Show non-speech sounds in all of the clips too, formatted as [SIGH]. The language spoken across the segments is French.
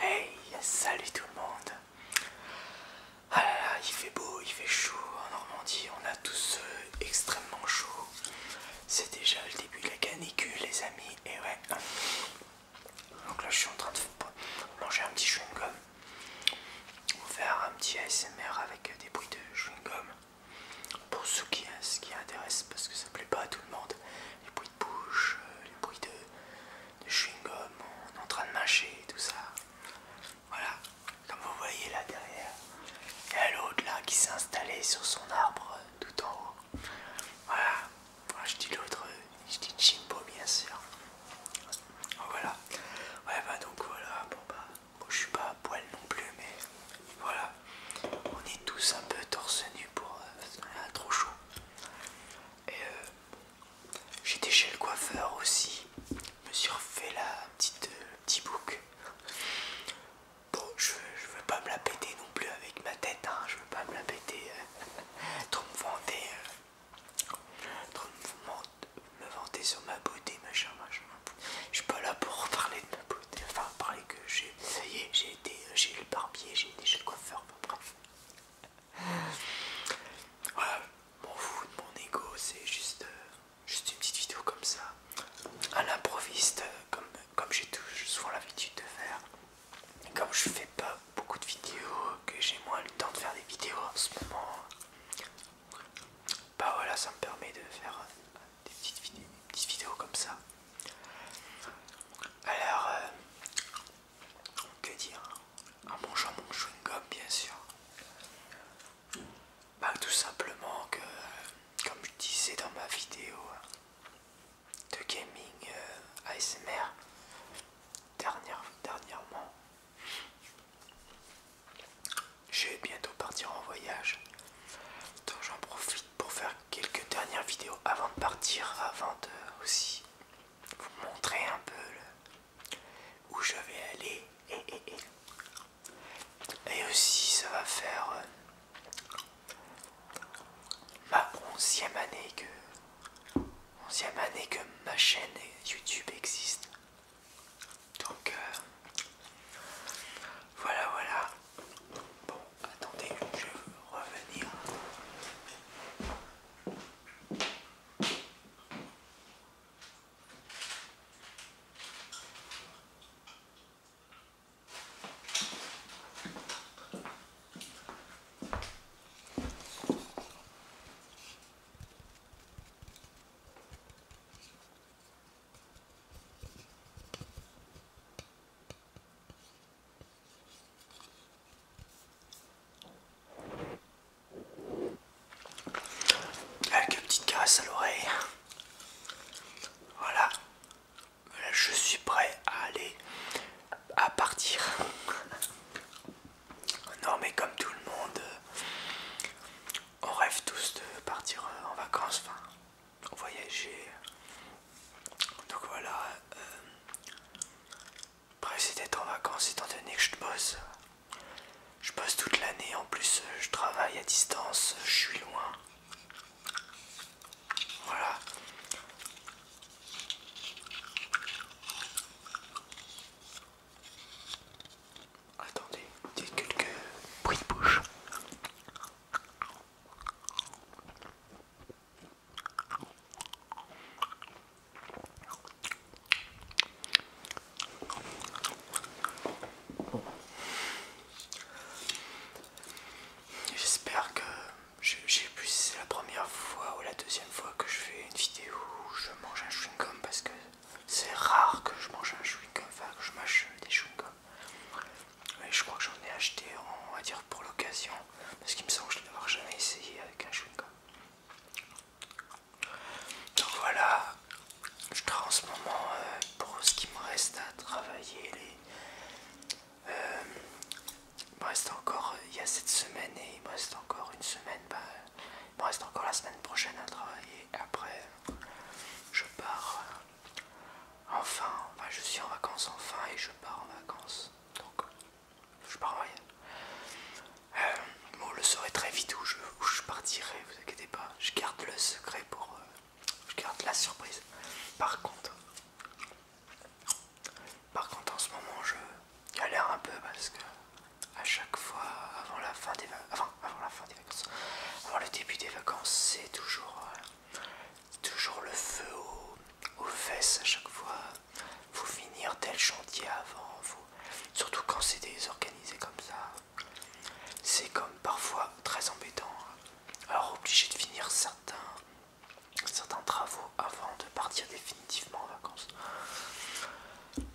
Hey, salut tout le monde. Ah il fait beau, il fait chaud en Normandie, on a tous euh, extrêmement chaud. C'est déjà le début de la canicule les amis, et ouais. Donc là je suis en train de manger un petit chewing-gum. Ou faire un petit ASMR avec euh, des bruits de chewing-gum pour ceux qui, ce qui intéresse parce que ça plaît pas à tout le monde les bruits de bouche, euh, les bruits de, chewing-gum, on est en train de mâcher tout ça voilà, comme vous voyez là derrière il y a l'autre là qui s'est installé sur son arbre euh, tout en haut voilà, je dis l'autre, euh, je dis Jimbo bien sûr voilà, ouais bah, donc voilà, bon bah je suis pas à poil non plus, mais voilà. On est tous un peu torse nu pour a euh, trop chaud. Et euh, j'étais chez le coiffeur aussi. Je me suis refait la petite petite euh, petit bouc. Bon, je, je veux pas me la péter non plus avec ma tête. Hein. Je veux pas me la péter. [LAUGHS] trop me vanter. trop me vanter sur ma beauté, machin, machin je suis pas là pour parler de ma beauté, enfin parler que j'ai essayé, j'ai été le barbier, j'ai eu le coiffeur, enfin bref. Voilà, mon fou, mon ego, c'est juste, euh, juste une petite vidéo comme ça, à l'improviste, euh, comme, comme j'ai souvent l'habitude de faire. comme je fais pas beaucoup de vidéos, que j'ai moins le temps de faire des vidéos en ce moment, bah voilà, ça me permet de faire euh, des petites, vidéos comme ça. Alors, euh, que dire En mangeant mon chewing-gum, bien sûr. Bah, tout simplement que, euh, comme je disais dans ma vidéo euh, de gaming ASMR dernière, dernièrement, je vais bientôt partir en voyage. Donc j'en profite pour faire quelques dernières vidéos avant de partir, avant de aussi vous montrer un peu où je vais aller. Et, aussi ça va faire euh, ma année que onzième année que ma chaîne YouTube existe. Donc euh, voilà, voilà. Bon, attendez, je vais revenir une petite caresses à l'oreille. Voilà. je suis prêt à aller à partir. [LAUGHS] Non mais comme tout le monde, euh, on rêve tous de partir euh, en vacances. Enfin, voyager. Donc voilà. Euh, après c'était en vacances étant donné que je bosse. Je bosse toute l'année, en plus je travaille à distance, je suis loin. Voilà. Attendez, quelques bruits de bouche. J'espère que j'ai plus c'est la première fois ou la deuxième fois que je fais une vidéo où je mange un chewing-gum parce que c'est rare que je mange un chewing-gum, enfin que je mâche des chewing gum je crois que j'en ai acheté, on va dire, pour l'occasion. Parce qu'il me semble que je ne jamais essayé avec un chewing Donc voilà, je travaille en ce moment euh, pour ce qui me reste à travailler. Euh, il me reste encore, euh, il y a cette semaine et il me reste encore une semaine. Bah, il me reste encore la semaine prochaine à travailler. Après, je pars enfin, je suis en vacances enfin et je pars en vacances. Donc je pars en voyage. Euh, le saurez très vite où je, je partirai, vous inquiétez pas. Je garde le secret pour... Euh, je garde la surprise. Par contre... Par contre en ce moment je galère un peu parce que à chaque fois avant la fin des, enfin, avant la fin des alors le début des vacances c'est toujours, euh, toujours le feu aux, fesses à chaque fois. Vous finir tel chantier avant. vous. Surtout quand c'est désorganisé comme ça. C'est comme parfois très embêtant. Hein. Alors obligé de finir certains, certains travaux avant de partir définitivement en vacances.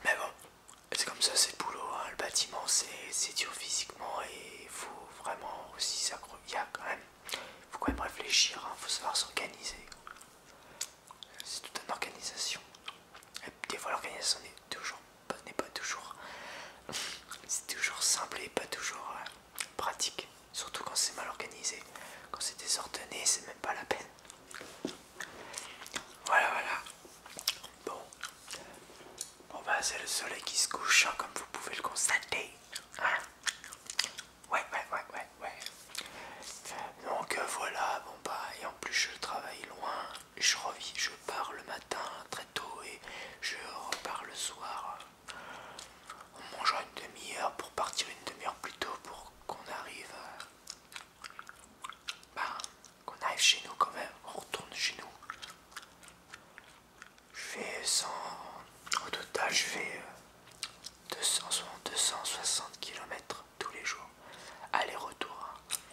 Mais bon, c'est comme ça, c'est le boulot. Hein. Le bâtiment, c'est dur physiquement. Il faut vraiment aussi a quand même, faut quand même réfléchir, hein. faut savoir s'organiser. C'est toute une organisation. des fois l'organisation n'est toujours n'est pas toujours [LAUGHS] c'est toujours simple et pas toujours euh, pratique. Surtout quand c'est mal organisé, quand c'est désordonné, c'est même pas la peine. Voilà, voilà. Bon, Bon bah c'est le soleil qui se couche, hein, comme vous pouvez le constater. ouais, ouais, ouais, ouais, ouais. Donc euh, voilà, bon bah, et en plus je travaille loin, je revis, je pars le matin très tôt et je repars le soir. On mangera une demi-heure pour partir une demi-heure plus tôt pour qu'on arrive. Euh, bah, qu'on arrive chez nous quand même, on retourne chez nous je fais 100 au total je fais 200, 260 km tous les jours aller-retour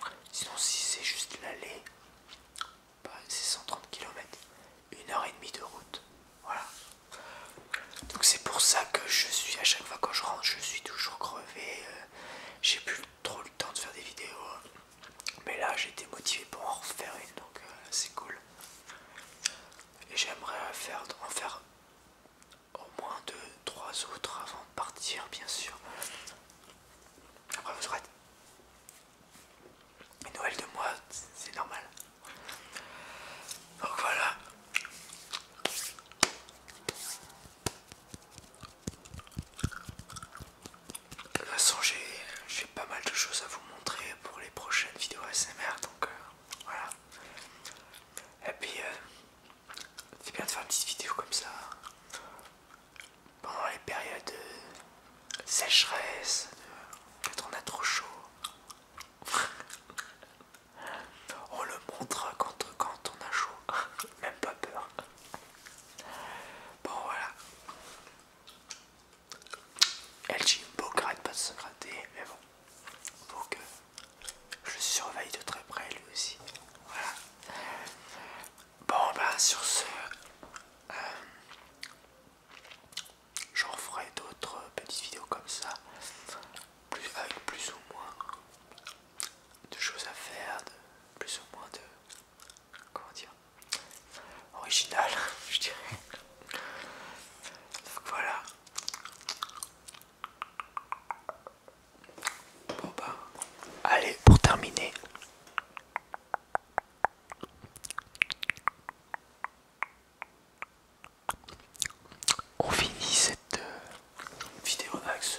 hein. sinon si c'est juste l'aller bah, c'est 130 km une heure et demie de route voilà donc c'est pour ça que je suis à chaque fois quand je rentre je suis toujours crevé euh, j'ai plus trop le temps de faire des vidéos mais là j'étais motivé pour en refaire une donc euh, c'est cool. Et j'aimerais en faire au moins deux, trois autres avant de partir bien sûr. Après vous aurez une de moi, c'est normal. Donc voilà. De toute façon, j'ai pas mal de choses à vous montrer pour les prochaines vidéos ASMR, donc euh, voilà. Et puis, euh, c'est bien de faire une petite vidéo comme ça pendant les périodes de sécheresse, quand on a trop chaud. [LAUGHS] on le montre quand, quand on a chaud, [LAUGHS] même pas peur. Bon voilà, elle Jimbo pas de se gratter, mais bon. Donc que je surveille de très près lui aussi. Voilà. Bon ben sur ce euh, j'en ferai d'autres petites vidéos comme ça. avec plus ou moins de choses à faire, de, plus ou moins de comment dire original [LAUGHS] je dirais voilà bah, allez pour terminer on finit cette euh, vidéo avec ce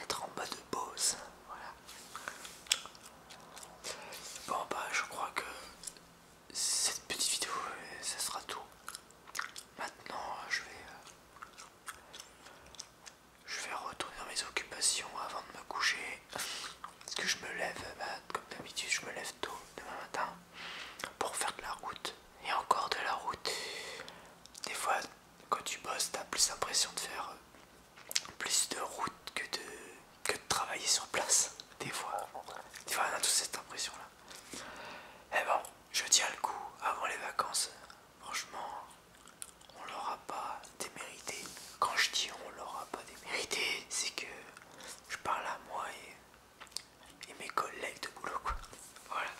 être en bas de pause. Voilà. Bon bah je crois que cette petite vidéo ça sera tout. Maintenant je vais euh, je vais retourner à mes occupations avant de me coucher. Parce que je me lève, bah, comme d'habitude je me lève tôt demain matin pour faire de la route. Et encore de la route. Des fois quand tu bosses, t'as plus l'impression de faire euh, plus de route que de, travailler sur place. Des fois, des fois on a tous cette impression là. Et eh bon, je tiens le coup avant les vacances. Franchement, on l'aura pas démérité. Quand je dis on l'aura pas démérité, c'est que je parle à moi et, et mes collègues de boulot quoi. Voilà.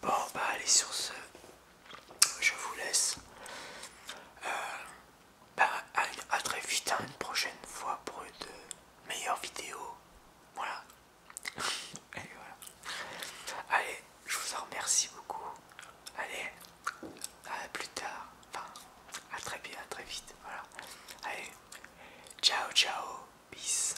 Bon bah allez sur ce, je vous laisse. Euh, bah, à, très vite, à hein, une prochaine fois pour de euh, meilleure vidéo. Voilà. Allez, [LAUGHS] voilà. Allez, je vous en remercie beaucoup. Allez, à plus tard. Enfin, à très bien, à très vite. Voilà. Allez, ciao, ciao, peace.